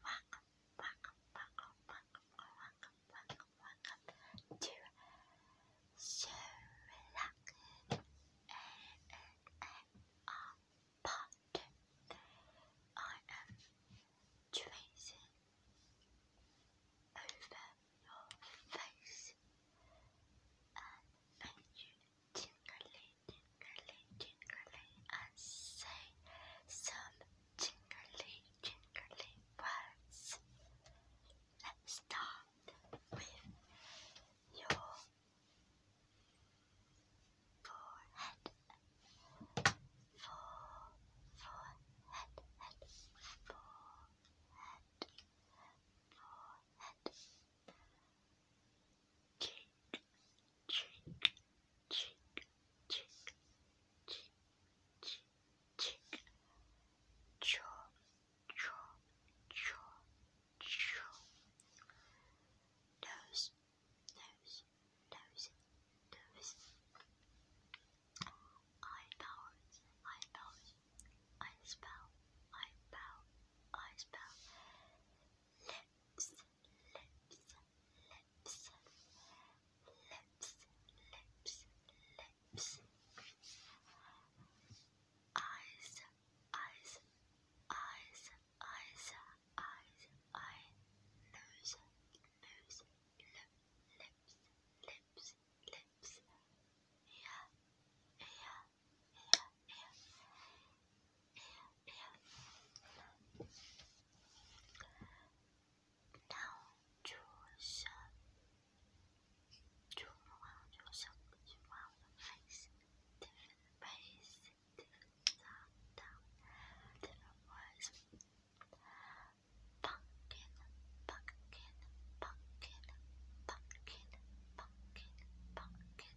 Welcome, welcome, welcome, welcome, welcome, welcome, welcome to So I am tracing over your face and make you tingly tingly, tingly, and say some tingly, tingly words. Let's start with your forehead. For, forehead, head, forehead, forehead. Forehead, cheek, cheek, cheek, cheek, cheek, cheek, jaw, jaw, jaw, jaw, nose, nose, nose, nose, eyebrows, eyebrows, eyes bow, eyebrow, eyes bow, lips lips, lips, lips, lips, eyes, eyes, eyes, eyes, eyes, eye, nose, nose, lip, lips, lips, lips, ear, ear. 到处生，触望着生，触望着 face，different face, different sound, different words. Pumpkin, pumpkin, pumpkin, pumpkin, pumpkin, pumpkin,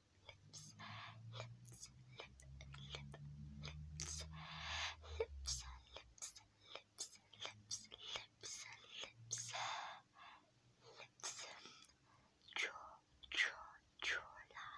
lips, lips, lip, lip, lips, lips, lips, lips, lips, lips, lips, lips, jaw, jaw, jawline.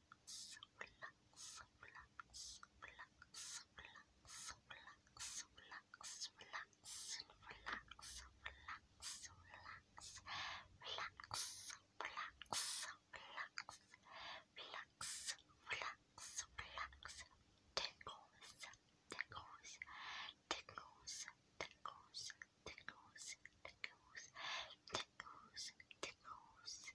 relax, relax, relax, relax, relax, relax, relax, relax, and relax, relax, relax, relax, relax, relax, relax, relax, relax, tickles, tickles, tickles, tickles, tickles, tickles, tickles, tickles.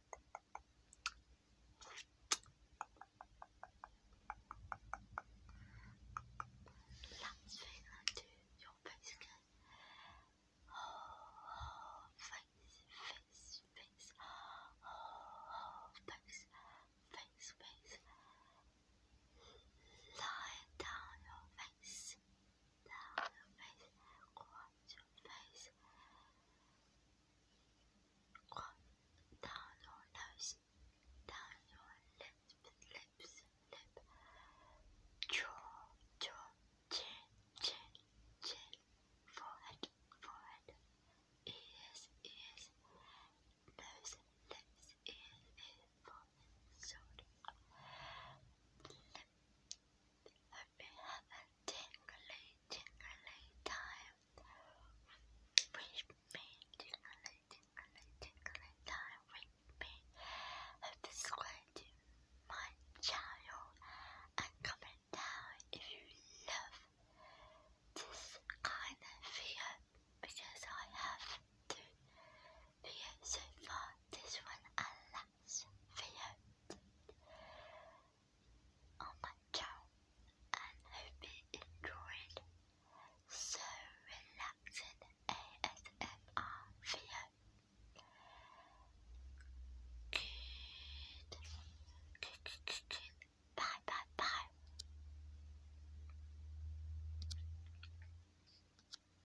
That's thing I do your face face, face, face. face, face, Lie down your face. Down your face. Quiet face Drop down your nose, down your lips, lips, lip Jaw, jaw, chin, chin, chin Forehead, forehead Ears, ears Nose, lips, ears, ears, forehead, shoulder Lip, i me have a tingly, tingly time. Wish me tingly, tingly, tingly time with me. If to my channel and comment down if you love this kind of video because I have two videos so far. This one I like that's video on my channel and hope you enjoyed so relaxing ASMR video. Good, good, good, good. Bye, bye, bye.